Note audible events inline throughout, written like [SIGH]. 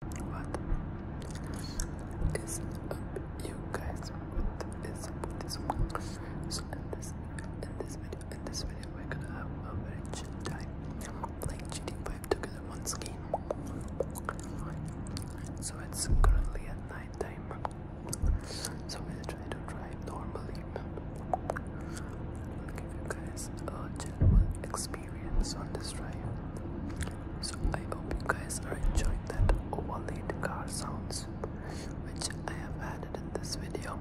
What is up, you guys? What is up this one? So in this, in this video, in this video, we're gonna have a very chill time playing GT5 together once again. So it's currently at night time. So we'll try to drive normally. I'll give you guys a general experience on this drive. So I hope you guys are enjoying that overlaid car sounds which I have added in this video.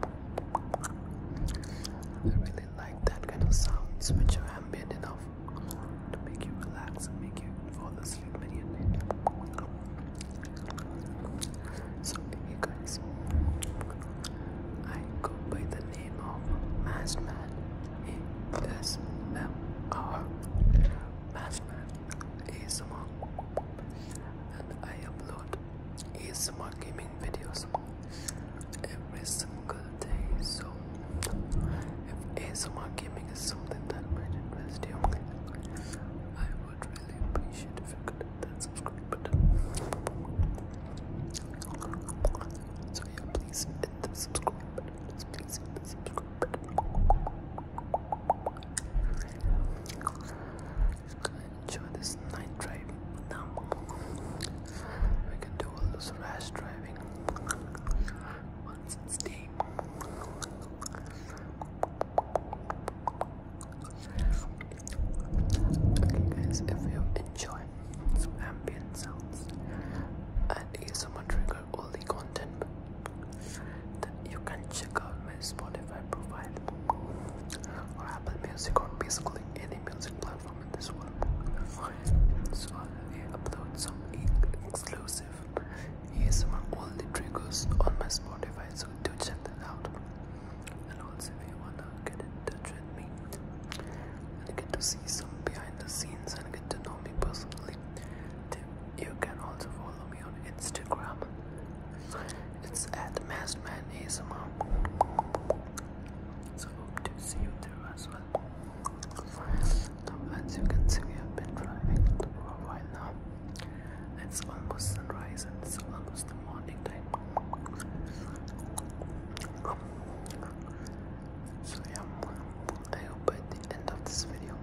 I really like that kind of sounds which are ambient enough to make you relax and make you fall asleep immediately. So hey guys, I go by the name of Maskman uh, is M.R. Maskman ASMR and I upload ASMR gaming videos every single day so if ASMR gaming is something that might interest you I would really appreciate if you could hit that subscribe button so yeah please hit the subscribe please, please, enjoy this night drive We can do all this rash driving once it's day. Okay guys, if you enjoy some ambient sounds, and ASMR trigger only content. You can check out my Spotify profile or Apple Music or basically any music platform in this So I upload some exclusive ASMR only triggers on my Spotify, so do check that out. And also, if you wanna get in touch with me and get to see some behind the scenes scenes and get to know me personally. You can also follow me on Instagram. It's at MaskmanASMR. hope to see you there as well. Now, as you can see, we have been driving for a while It's almost sunrise and it's almost the morning time. So yeah, I hope by the end of this video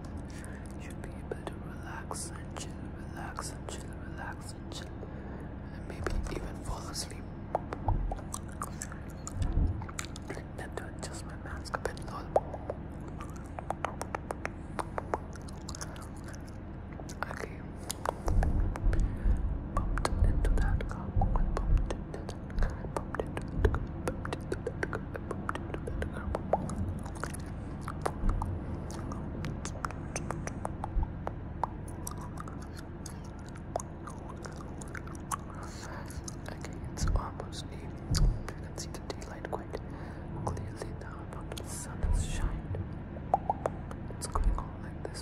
you'll be able to relax and chill, relax and chill, relax and chill, and maybe even fall asleep. need to adjust my mask a bit Okay, bumped into that car and bumped into Okay, it's almost evening. You can see the daylight quite clearly now, but the sun has shined. It's going on like this.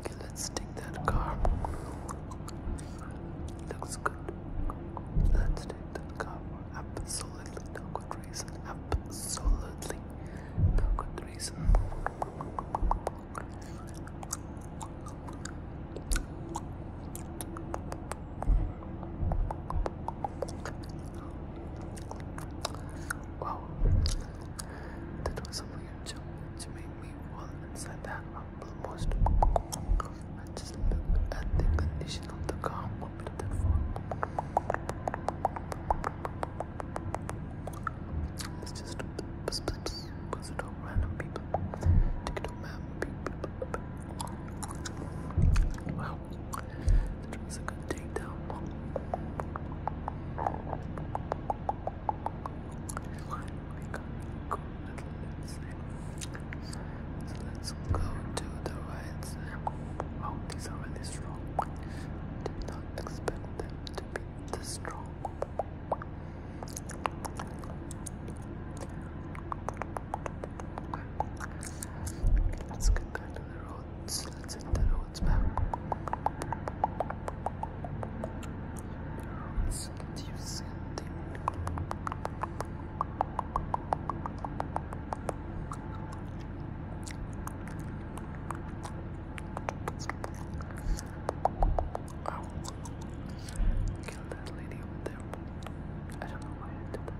Okay, let's take that car. Looks good. Let's take that car. Absolutely no good reason. Absolutely no good reason. Wow, that was a weird jump which made me fall inside that almost. I just looked at the condition of the car after that just random people. Wow let's go to the right Oh, these are really strong. Did not expect them to be this strong. Let's get back to the road. Let's get you something. Oh. kill that lady over there. I don't know why I did that.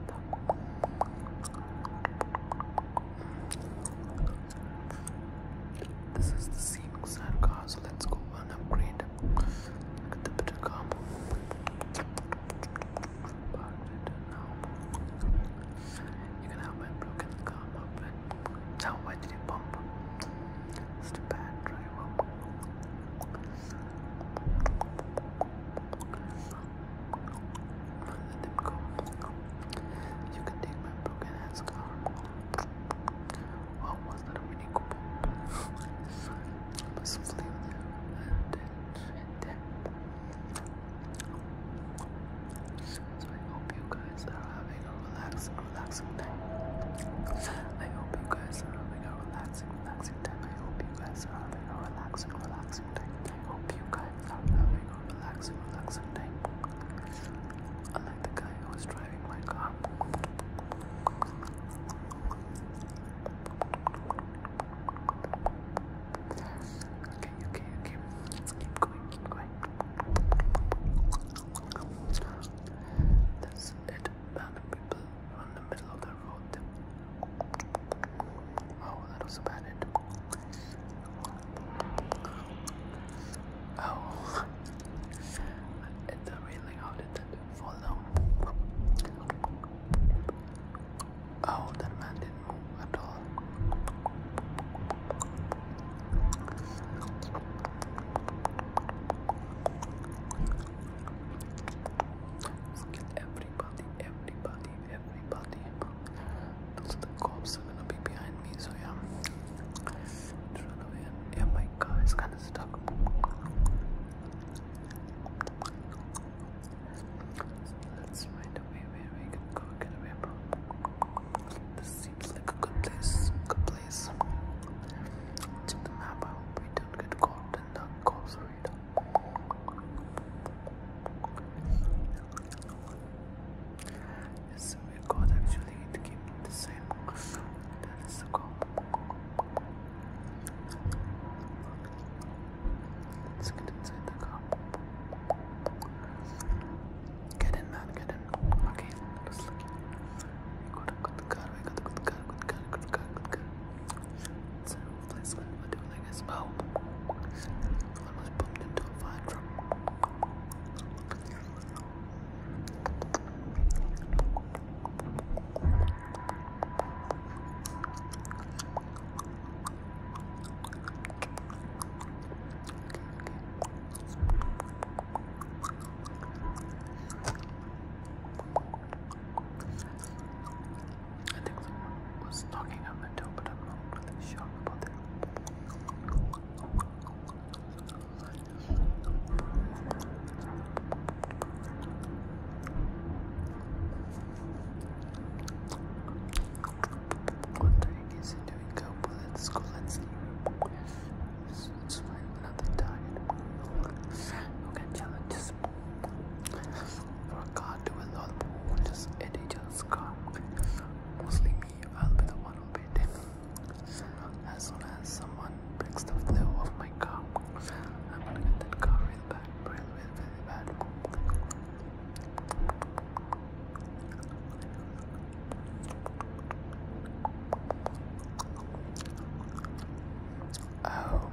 This is the scenic side car, so let's go and upgrade. Look the bit car. You can have my broken car up and now did you bump? Just bad driver. Let them go. You can take my broken ass car. was that a I must leave I hope you guys are having a relaxing, relaxing time. I hope you guys are having a relaxing, relaxing time. I hope you guys are having a relaxing, relaxing time. I hope you guys Calm down, I go relaxing, relaxing time. I like the guy who was driving my car. Okay, okay, okay. Let's keep going, going. That's it. Random people on the middle of the road. Oh, that was about it. Oh, it's a really how did that follow? Oh, that man didn't move at all. Look everybody, everybody, everybody. Those are the cops are gonna be behind me, so yeah. Just away yeah, my car is kinda stuck. Let's find a way where we can go get away from. This seems like a good place. Good place. Check the map. I hope we don't get caught in the cops raid. It's very good actually keep the same. That is the goal. Let's get inside the car. Get in, man, get in. Okay, let's look. We got good car, we good car, good car, good car, good car. Let's let me do it like this. Oh, almost bumped into a fire truck. Okay, okay. I think someone was knocking on the door, but I'm not really sure about that. What the heck is he doing? Go school, let's see. It's, it's fine, nothing target. Okay, to a just at scar. Mostly me, I'll be the one who As soon as someone picks the flavor of my car, I'm gonna get that car real bad, real, really bad. Oh.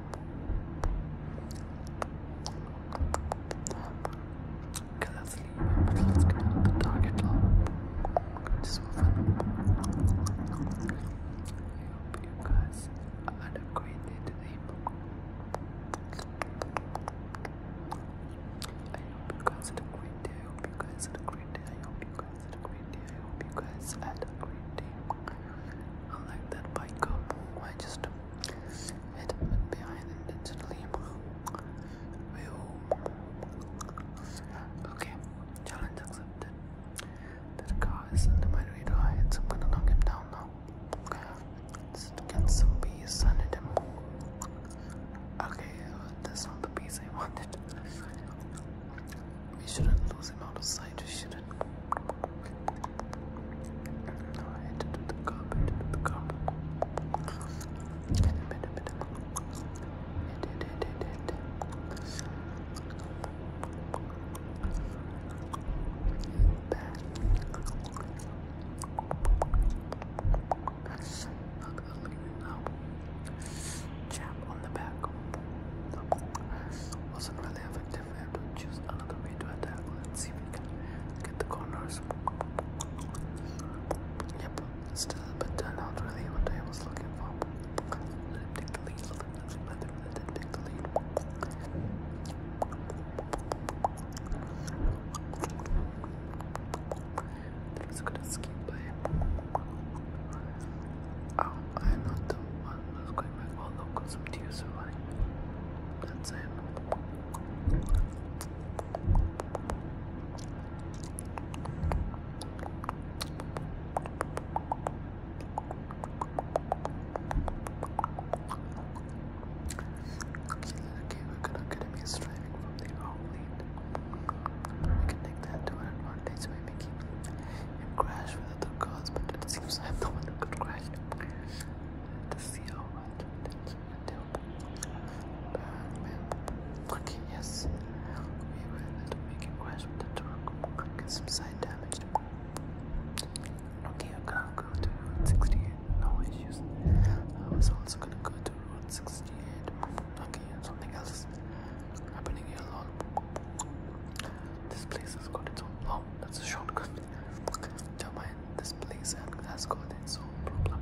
Cause that's leaving, but let's get on the target log. Just for fun. I hope you guys are acquainted today. I hope you guys had a great day. I hope you guys had a great day. I hope you guys had a great day. I hope you guys had a great day. I like that bike up. I just it went behind intentionally. Okay, challenge accepted. That car is under my radar heights. I'm gonna knock him down now. Let's get some bees and him. Okay, well, that's not the piece I wanted. We shouldn't lose him out of sight, we shouldn't into the cup, into the cup. Chap on the back wasn't really effective have to choose another way to attack. Let's see if we can get the corners. Yep, still but turned really what I was looking for. Let him take the lead. Let him, let him take the lead. That was a good by Oh, I'm not the one who's going back. Well, no, because I'm too good academy is striving from the outlet. We can take that to our advantage by making him crash with other girls, but it seems I'm the one who could crash. Let's see how Okay, yes. We were able to make a crash with the truck. Get some side damage. Okay, I'm gonna go to Route 68. No issues. I was also gonna go to Route 68. Okay, something else happening here This place has got its own. Oh, that's a shortcut. Don't mind this place has got its own problem.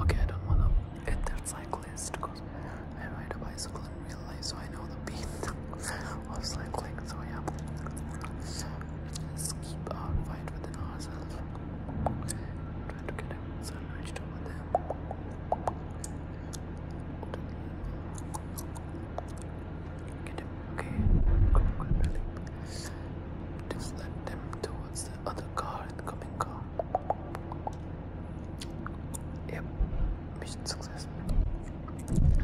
Okay, I don't wanna hit that cyclist because I ride a bicycle in real life, so I know the pain [LAUGHS] of cycling. So yeah, let's keep our fight within ourselves. Try to get a sandwich over there. Get him, okay? Good, good, really. Just let them towards the other car, incoming car. Yep, mission success.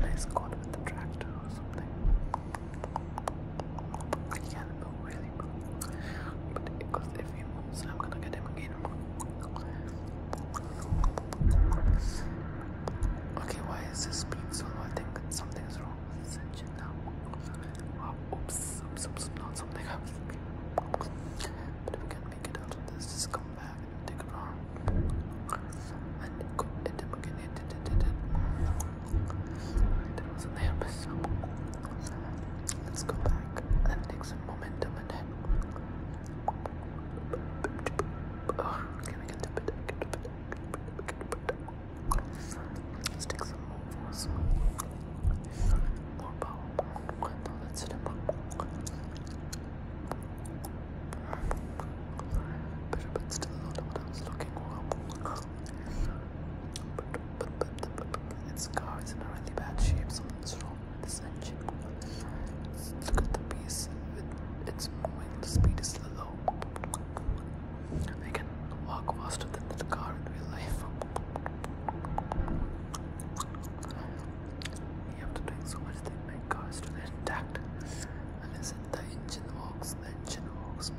Nice caught with the tractor or something. I can't really, but because if he moves, I'm gonna get him again. Okay, why is this speed so? I think it's something something's wrong with Sanjana. Oh, oops, not something But if make it out of this, just come back and take a round. And go it again, it did it, it, it. There was a there, Let's go back and take some momentum and then. Let's take some more power. No, that's it. but still not what I was looking for. But, but, but, but, but its car is in a really bad shape. Something's wrong with this engine. Look at the piece. it's moving. The speed is low so can walk faster than the car in real life. You have to do so much that my car is still intact. Unless the engine works. the engine walks.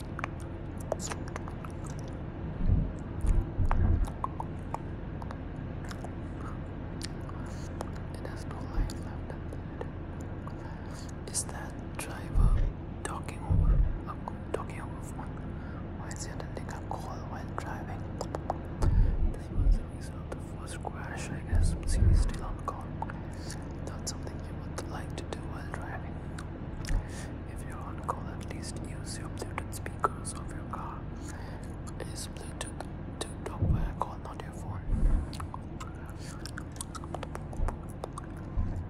It has no light left at that driver talking over i uh, talking over phone? Why is he attending a call while driving? This was the result of the first crash, I guess. See he's still on call. That's something you would like to do while driving. If you want to call, at least use your Bluetooth speakers of your car. It's Bluetooth to talk via call, not your phone.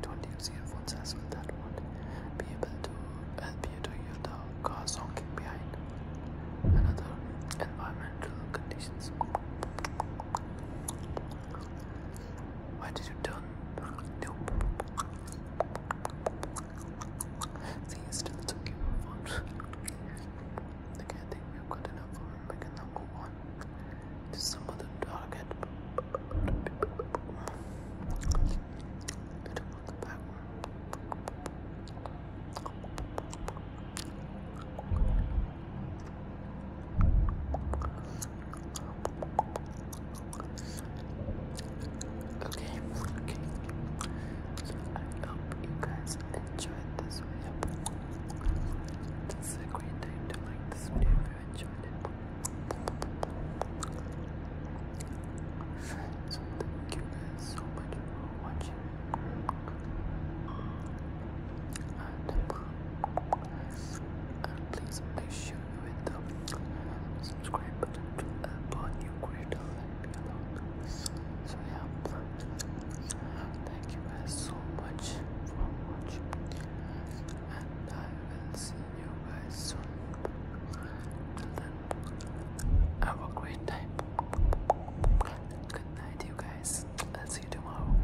Don't use your phone's as well, that would be able to help you to hear the car honking behind. Another environmental conditions. Why did you done? Nope. See, it still took you a fun. Okay, think we've got enough for him. We can now go some other target. Bit about the back Okay, okay. I hope you guys enjoyed this video. This a great time to like this video if you enjoyed it. So thank you guys so much for watching. And and please, please share with the subscribe button to upon you creator and thank you guys so much for watching, and I will see you guys soon. Till then, have a great time. Good night, you guys. I'll see you tomorrow.